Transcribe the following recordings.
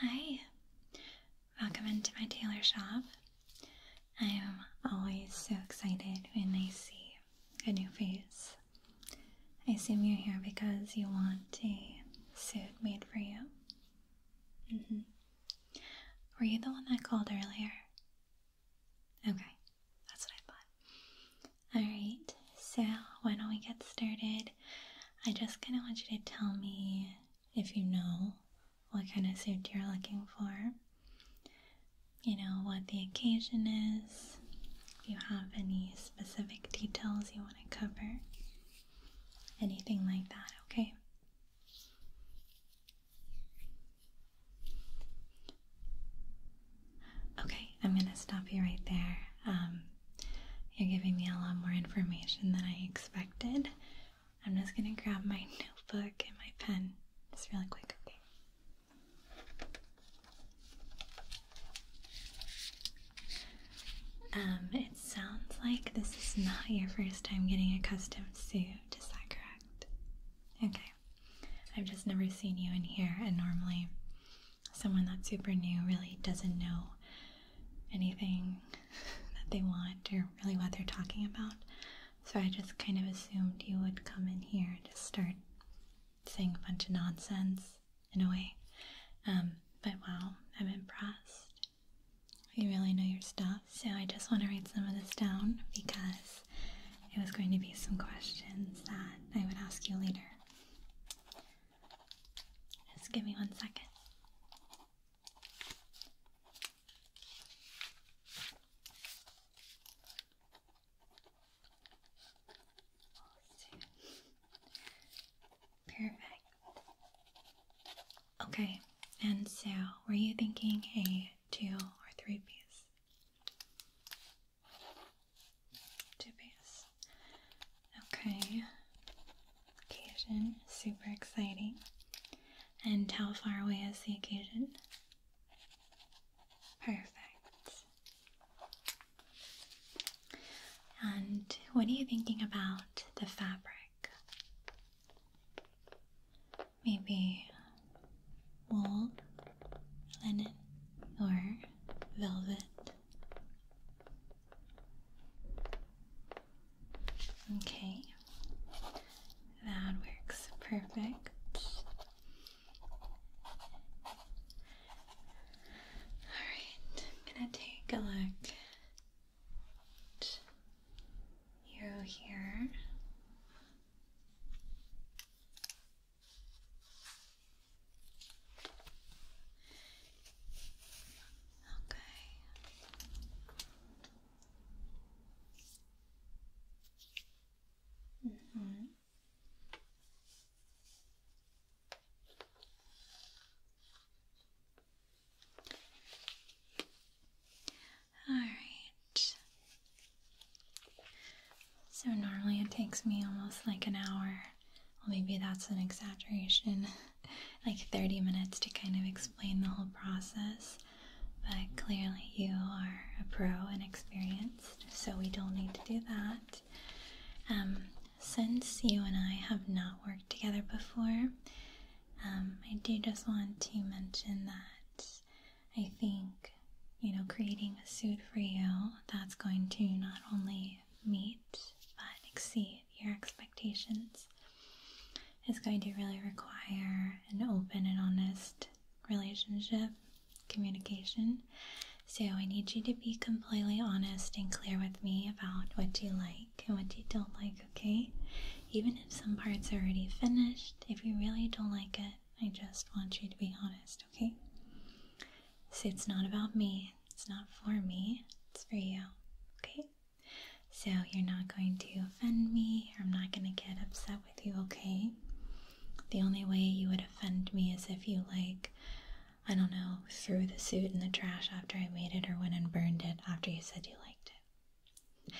Hi, welcome into my tailor shop. I am always so excited when I see a new face. I assume you're here because you want a suit made for you. Mm -hmm. Were you the one that called earlier? Okay, that's what I thought. Alright, so why don't we get started I just kind of want you to tell me if you know what kind of suit you're looking for. You know, what the occasion is, if you have any specific details you want to cover, anything like that, okay? Okay, I'm gonna stop you right there. Um, you're giving me a lot more information than I expected. I'm just gonna grab my notebook and my pen just really quick, okay? Um, it sounds like this is not your first time getting a custom suit, is that correct? Okay. I've just never seen you in here, and normally someone that's super new really doesn't know anything that they want or really what they're talking about. So I just kind of assumed you would come in here and just start saying a bunch of nonsense in a way. Um, but wow, I'm impressed. You really know your stuff. So I just want to write some of this down because it was going to be some questions that I would ask you later. Just give me one second. Perfect. Okay, and so were you thinking a two or three piece? Two piece. Okay. Occasion, super exciting. And how far away is the occasion? Perfect. And what are you thinking about the fabric? Maybe wool, linen, or velvet? Okay, that works perfect. Alright, I'm gonna take a look you here. Okay. Mm -hmm. All right. So normally it takes me almost like an hour well, maybe that's an exaggeration. like 30 minutes to kind of explain the whole process. But clearly, you are a pro and experienced, so we don't need to do that. Um, since you and I have not worked together before, um, I do just want to mention that I think, you know, creating a suit for you that's going to not only meet but exceed your expectations. is going to really require an open and honest relationship communication. So, I need you to be completely honest and clear with me about what you like and what you don't like, okay? Even if some parts are already finished, if you really don't like it, I just want you to be honest, okay? So it's not about me, it's not for me, it's for you. Okay? So you're not going to offend me, I'm not going to get upset with you, okay? The only way you would offend me is if you, like, I don't know, threw the suit in the trash after I made it or went and burned it after you said you liked it.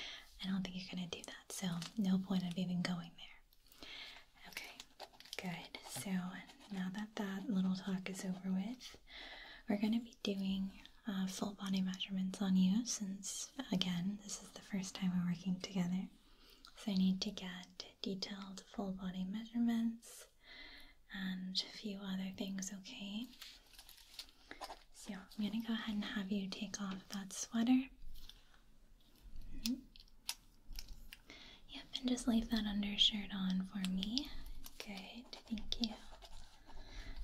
I don't think you're going to do that, so no point of even going there. Okay, good. So now that that little talk is over with, we're going to be doing uh, full body measurements on you since, again, this is the first time we're working together. So I need to get detailed full body measurements and a few other things, okay? So I'm going to go ahead and have you take off that sweater. Mm-hmm. Yep, and just leave that undershirt on for me. Good, thank you.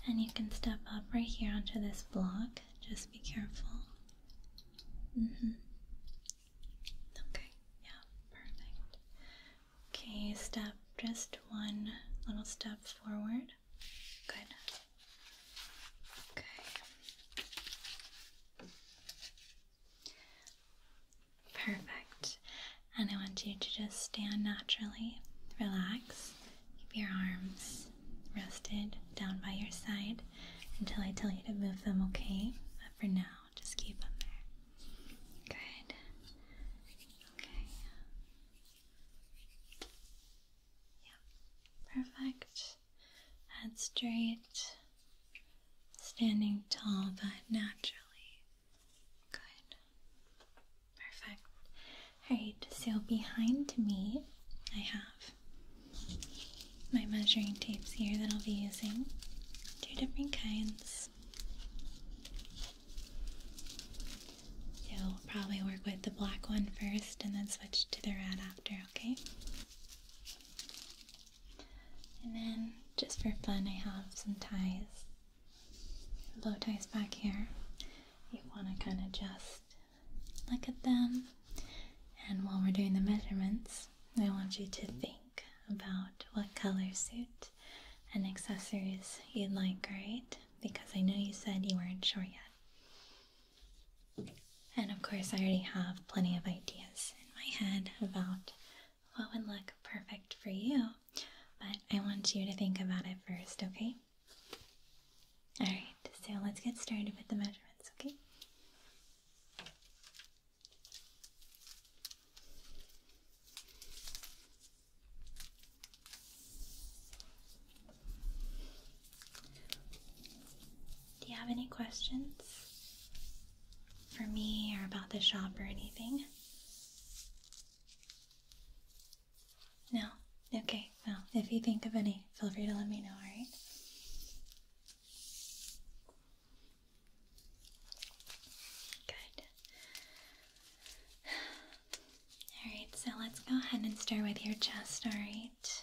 And you can step up right here onto this block. Just be careful. Mm-hmm. Okay, yeah, perfect. Okay, step just one little step forward. Good. Okay. Perfect. And I want you to just stand naturally, relaxed. keep your arms rested down by your side until I tell you to move them, okay? But for now, just keep them there. Good. Okay. Yeah. Perfect. Head straight. Standing tall but naturally. Good. Perfect. Alright, so behind me I have my measuring tapes here that I'll be using. Two different kinds. So we'll probably work with the black one first and then switch to the red after, okay? And then, just for fun, I have some ties low ties back here, you want to kind of just look at them. And while we're doing the measurements, I want you to think about what color suit and accessories you'd like, right? Because I know you said you weren't sure yet. And of course, I already have plenty of ideas in my head about what would look perfect for you but I want you to think about it first, okay? Alright, so let's get started with the measurements, okay? Do you have any questions? for me or about the shop or anything? No? Okay, well, if you think of any, feel free to let me know, alright? Good. Alright, so let's go ahead and start with your chest, alright?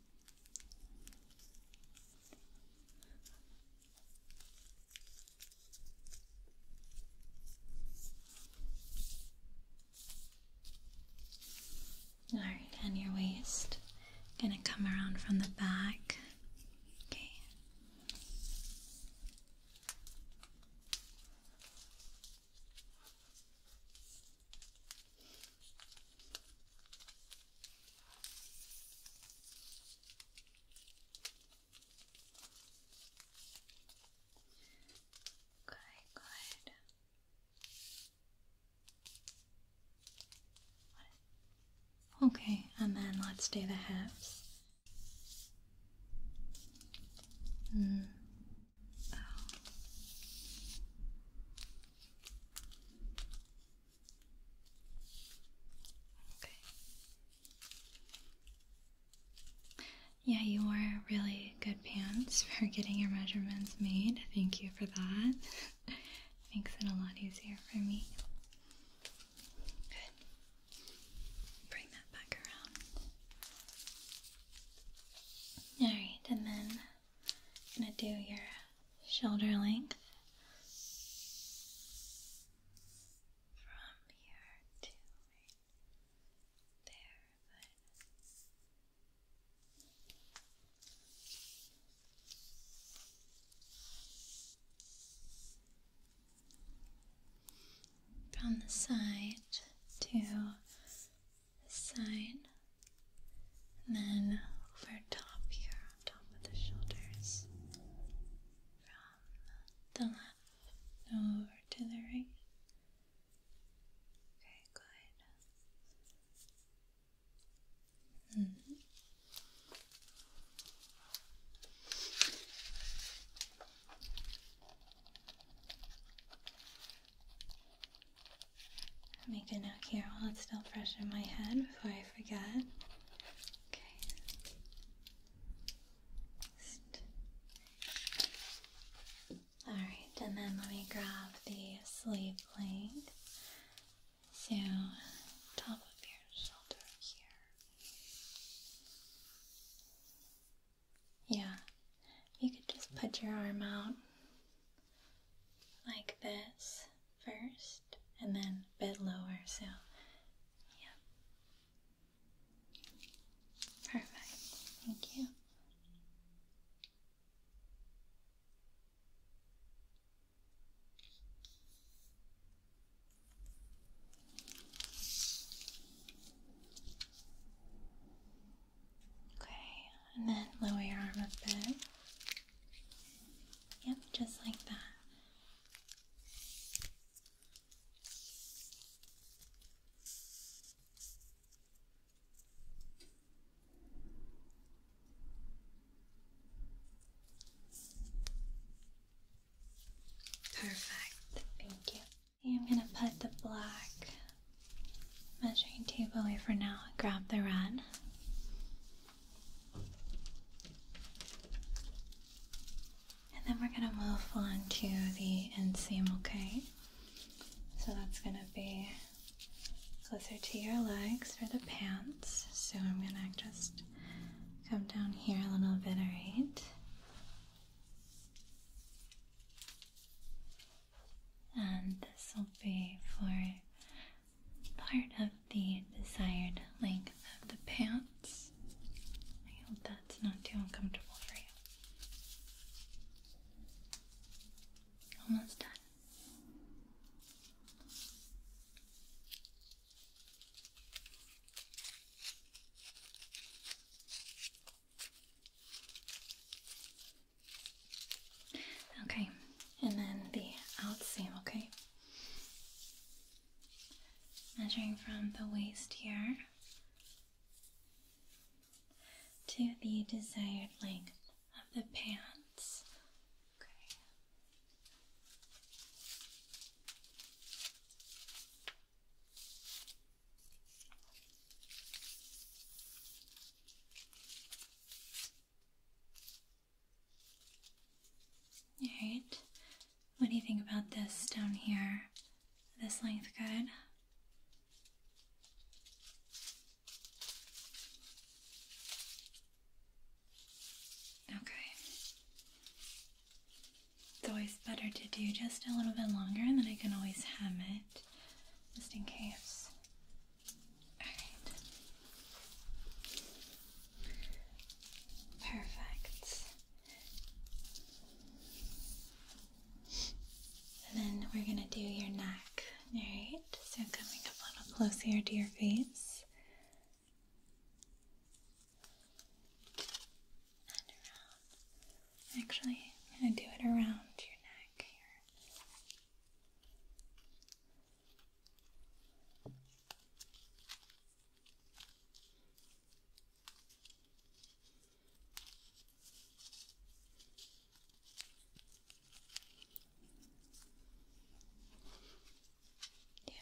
All right, and your waist. Gonna come around from the back. Okay. Okay, good. Okay, and then let's do the hips. Mm. Oh. Okay. Yeah, you wore really good pants for getting your measurements made. Thank you for that. Makes it a lot easier for me. Good. Bring that back around. Alright, and then I'm gonna do your shoulder length from here to there. From the side to the side. And then over top here, on top of the shoulders, from the left over to the right. Okay, good. Make a note here while it's still fresh in my head before I Okay. All right, and then let me grab the sleeve length. So, top of your shoulder here. Yeah, you could just put your arm out like this first and then a bit lower so yeah perfect thank you Okay, and then lower your arm a bit. Yep, just like that. Perfect, thank you. I'm gonna put the black measuring tape away for now. Grab the red. And then we're going to move on to the inseam, okay? So that's going to be closer to your legs for the pants. So I'm going to just come down here a little bit, right? And this will be for part of the desired length of the pants. I hope that's not too uncomfortable for you. Almost done. Okay, and then the out seam, okay? Measuring from the waist here to the desired length of the pants. Okay. Alright, what do you think about this down here? This length good? Okay. It's always better to do just a little bit longer and then I can always hem it just in case Perfect. And then we're going to do your neck. Alright, so coming up a little closer to your face. Actually, I'm going to do it around your neck here. Yeah.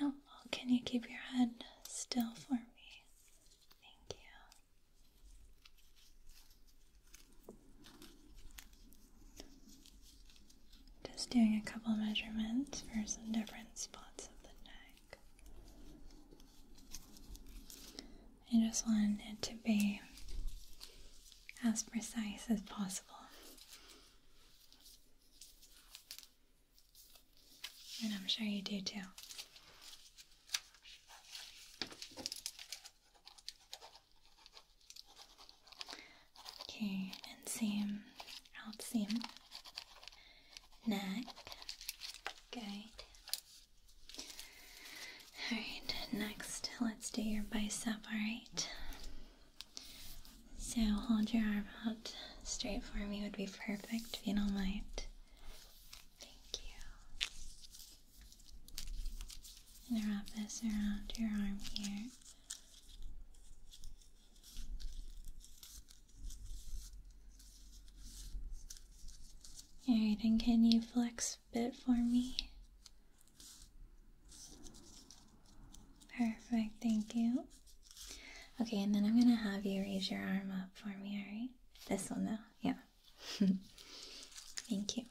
Yeah, well, can you keep your head still for me? Thank you. Just doing a couple measurements for some different spots of the neck. I just wanted it to be as precise as possible. And I'm sure you do too. Okay, and same out same, neck, good. Alright, next let's do your bicep, alright? So hold your arm out straight for me would be perfect if you don't mind. Thank you. And wrap this around your arm here. Alright, and can you flex a bit for me? Perfect, thank you. Okay, and then I'm gonna have you raise your arm up for me, alright? This one now. yeah. thank you.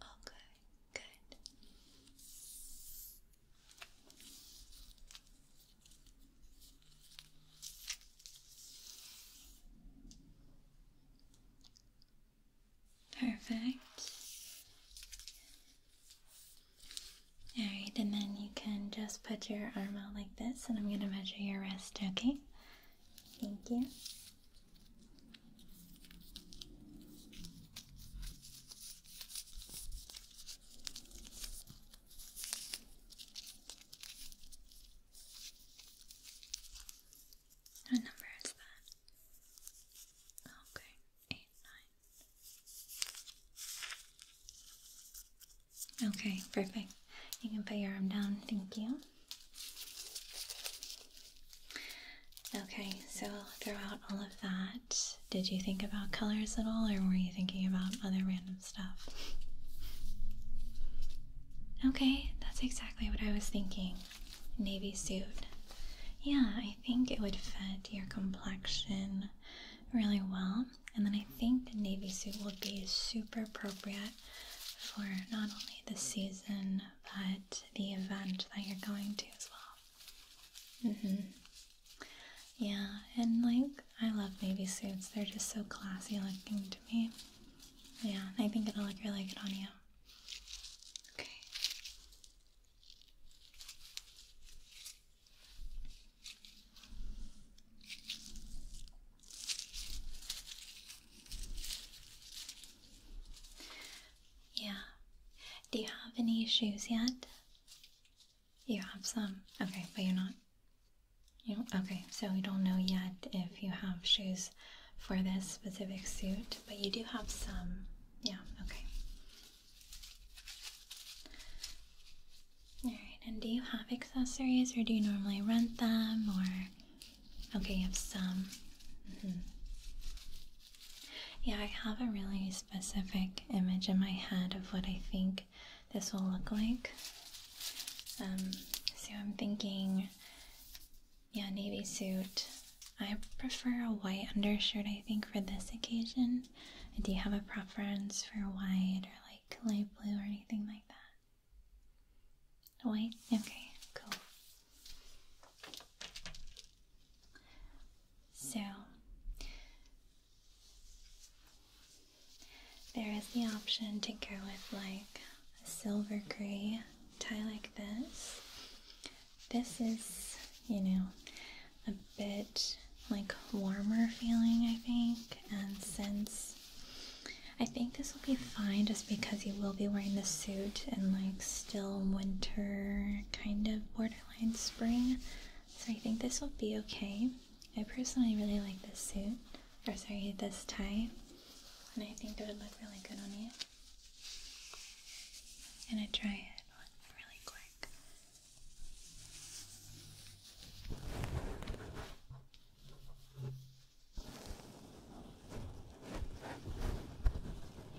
Okay, oh, good. Perfect. Alright, and then you can just put your arm out like this, and I'm going to measure your wrist, okay? Thank you. What number is that? Okay, eight, nine. Okay, perfect. You can put your arm down. Thank you. Okay, so throughout all of that, did you think about colors at all, or were you thinking about other random stuff? Okay, that's exactly what I was thinking. Navy suit. Yeah, I think it would fit your complexion really well. And then I think the navy suit would be super appropriate for not only the season, but the event that you're going to as well. Mm-hmm. Yeah, and like I love baby suits. They're just so classy looking to me. Yeah, I think it'll look really good on you. Okay. Yeah. Do you have any shoes yet? You have some. Okay, but you're not. You okay, so we don't know yet if you have shoes for this specific suit, but you do have some. Yeah, okay. Alright, and do you have accessories or do you normally rent them or. Okay, you have some. Mm-hmm. Yeah, I have a really specific image in my head of what I think this will look like. Um, so I'm thinking, yeah, navy suit. I prefer a white undershirt, I think, for this occasion. Do you have a preference for white or like light blue or anything like that? White? Okay, cool. So, there is the option to go with like a silver gray tie like this. This is, you know, a bit like warmer feeling, I think, and since I think this will be fine just because you will be wearing the suit and like still winter kind of borderline spring. So I think this will be okay. I personally really like this suit, or sorry, this tie, and I think it would look really good on you. gonna try it really quick.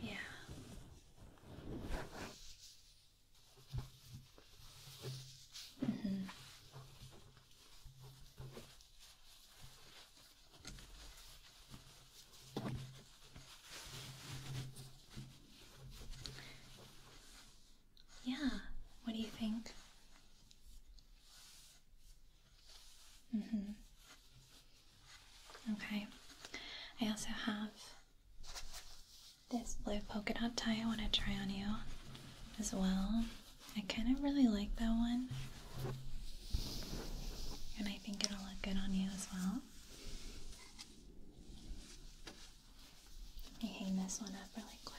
Yeah. Mm -hmm. Yeah, what do you think? Mm hmm Okay. I also have this blue polka dot tie I want to try on you as well. I kind of really like that one. And I think it'll look good on you as well. I me hang this one up really quick.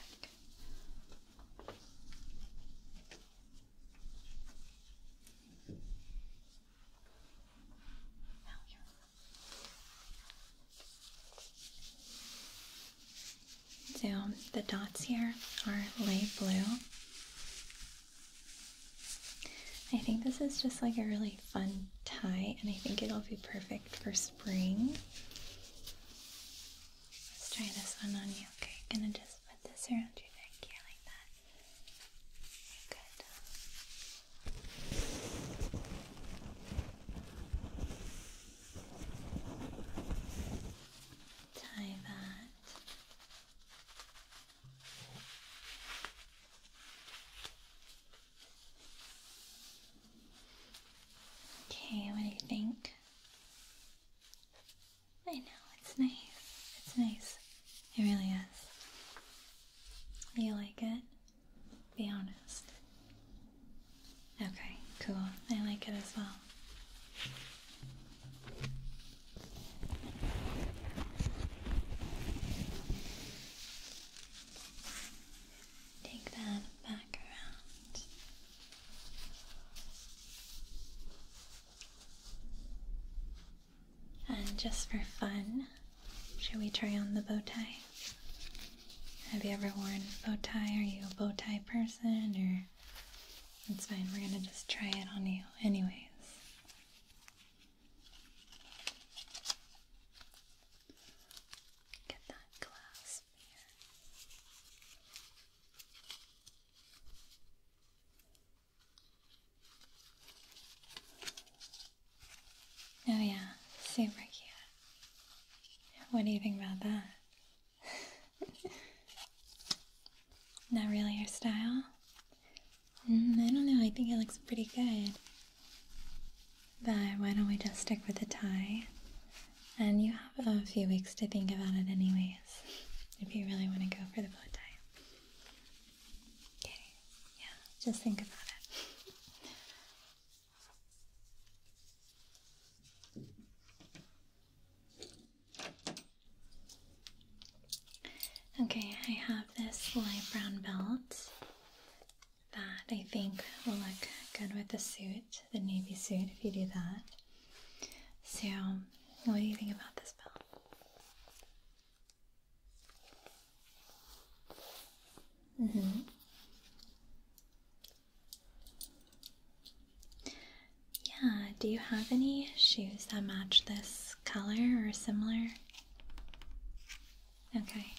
So the dots here are light blue. I think this is just like a really fun tie and I think it'll be perfect for spring. Let's try this one on you. Okay, I'm gonna just put this around your neck here like that. Good. Tie that. Okay, what do you think? I know, it's nice. It's nice. It really is you like it? Be honest. Okay, cool. I like it as well. Take that back around. And just for fun, should we try on the bow tie? Have you ever worn a bow tie? Are you a bow tie person or it's fine, we're gonna just try it on you anyways. Get that clasp here. Oh yeah, super cute. What do you think about that? Not really your style? Mm, I don't know, I think it looks pretty good. But why don't we just stick with the tie? And you have a few weeks to think about it anyways, if you really want to go for the bow tie. Okay, yeah, just think about it. Okay, I have this light brown belt that I think will look good with the suit, the navy suit, if you do that. So, what do you think about this belt? Mm-hmm. Yeah, do you have any shoes that match this color or similar? Okay.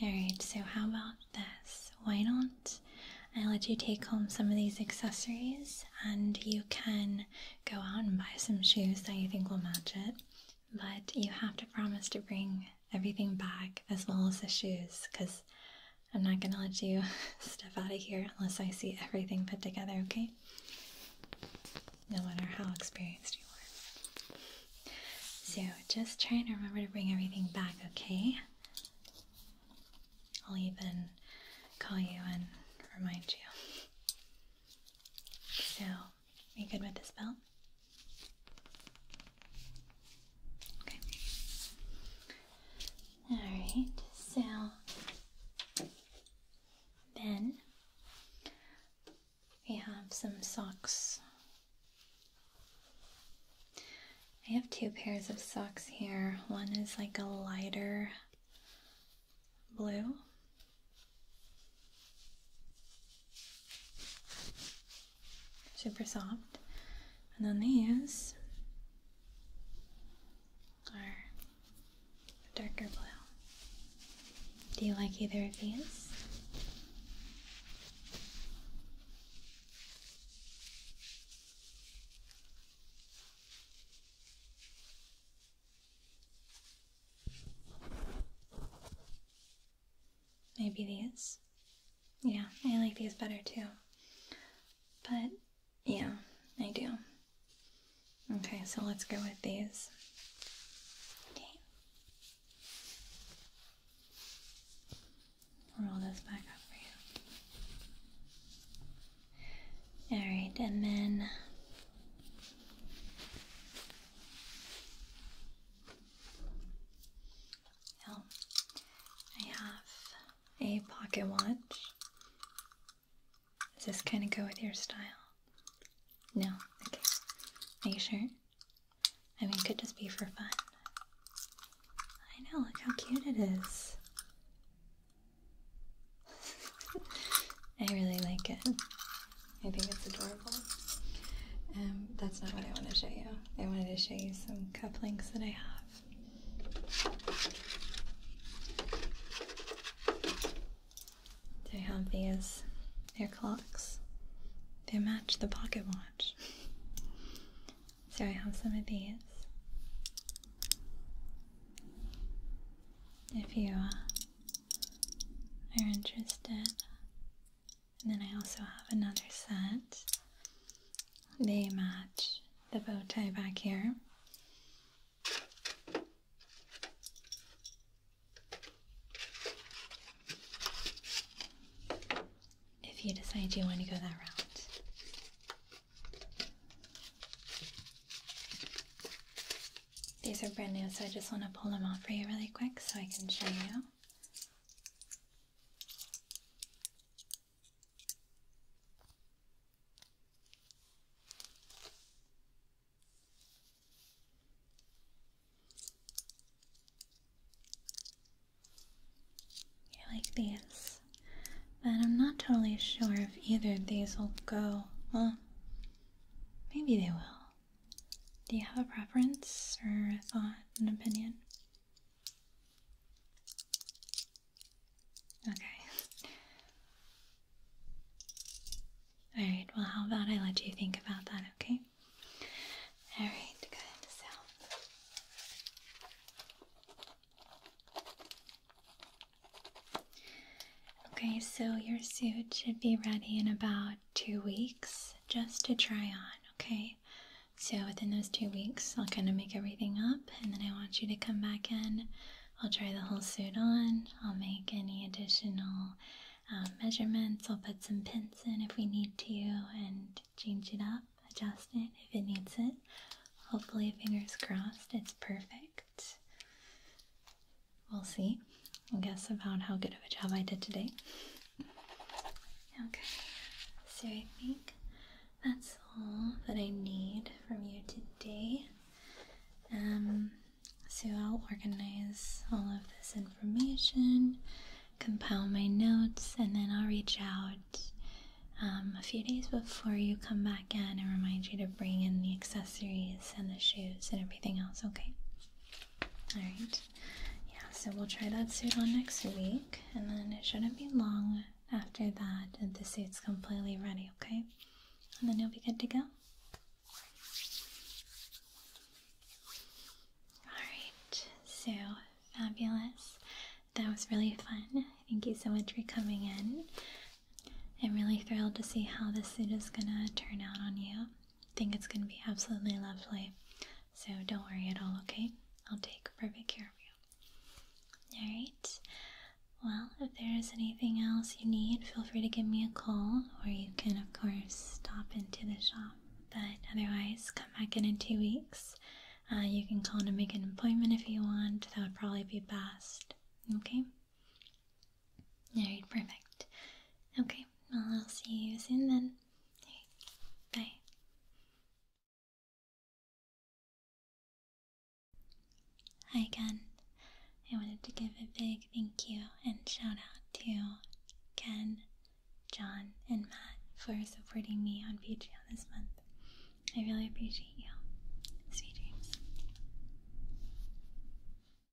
Alright, so how about this? Why don't I let you take home some of these accessories and you can go out and buy some shoes that you think will match it? But you have to promise to bring everything back as well as the shoes because I'm not going to let you step out of here unless I see everything put together, okay? No matter how experienced you are. So just try and remember to bring everything back, okay? I'll even call you and remind you. So are you good with this belt? Okay. Alright, so then we have some socks. I have two pairs of socks here. One is like a lighter blue Super soft. And then these are darker blue. Do you like either of these? Maybe these. Yeah, I like these better too. But yeah, I do. Okay, so let's go with these. Okay. Roll this back up for you. Alright, and then I have a pocket watch. Does this kind of go with your style? No? Okay. Are you sure? I mean, it could just be for fun. I know, look how cute it is. I really like it. I think it's adorable. Um, that's not what I want to show you. I wanted to show you some cufflinks that I have. I have these. They're clocks. They match the pocket watch. so I have some of these. If you uh, are interested. And then I also have another set. They match the bow tie back here. If you decide you want to go that route. These are brand new, so I just want to pull them off for you really quick so I can show you. You like these, but I'm not totally sure if either of these will go. Well, maybe they will. Do you have a preference or a thought, an opinion? Okay. Alright, well, how about I let you think about that, okay? Alright, good. So. Okay, so your suit should be ready in about two weeks just to try on, okay? So within those two weeks, I'll kind of make everything up, and then I want you to come back in. I'll try the whole suit on, I'll make any additional um, measurements, I'll put some pins in if we need to, and change it up, adjust it if it needs it. Hopefully, fingers crossed, it's perfect. We'll see. We'll guess about how good of a job I did today. Okay, so I think that's all that I need from you today. Um, so I'll organize all of this information, compile my notes, and then I'll reach out um, a few days before you come back in and remind you to bring in the accessories and the shoes and everything else, okay? All right. Yeah, so we'll try that suit on next week, and then it shouldn't be long after that and the suit's completely ready, okay? And then you'll be good to go. Alright, so fabulous. That was really fun. Thank you so much for coming in. I'm really thrilled to see how this suit is gonna turn out on you. I think it's going to be absolutely lovely. So don't worry at all, okay? I'll take perfect care of you. Alright? Well, if there is anything else you need, feel free to give me a call, or you can, of course, stop into the shop. But otherwise, come back in in two weeks. Uh, you can call to make an appointment if you want. That would probably be best. Okay? Alright, perfect. Okay, well, I'll see you soon then. Okay, bye. Hi again. I wanted to give a big thank you and shout out to Ken, John, and Matt for supporting me on Patreon this month. I really appreciate you. Sweet dreams.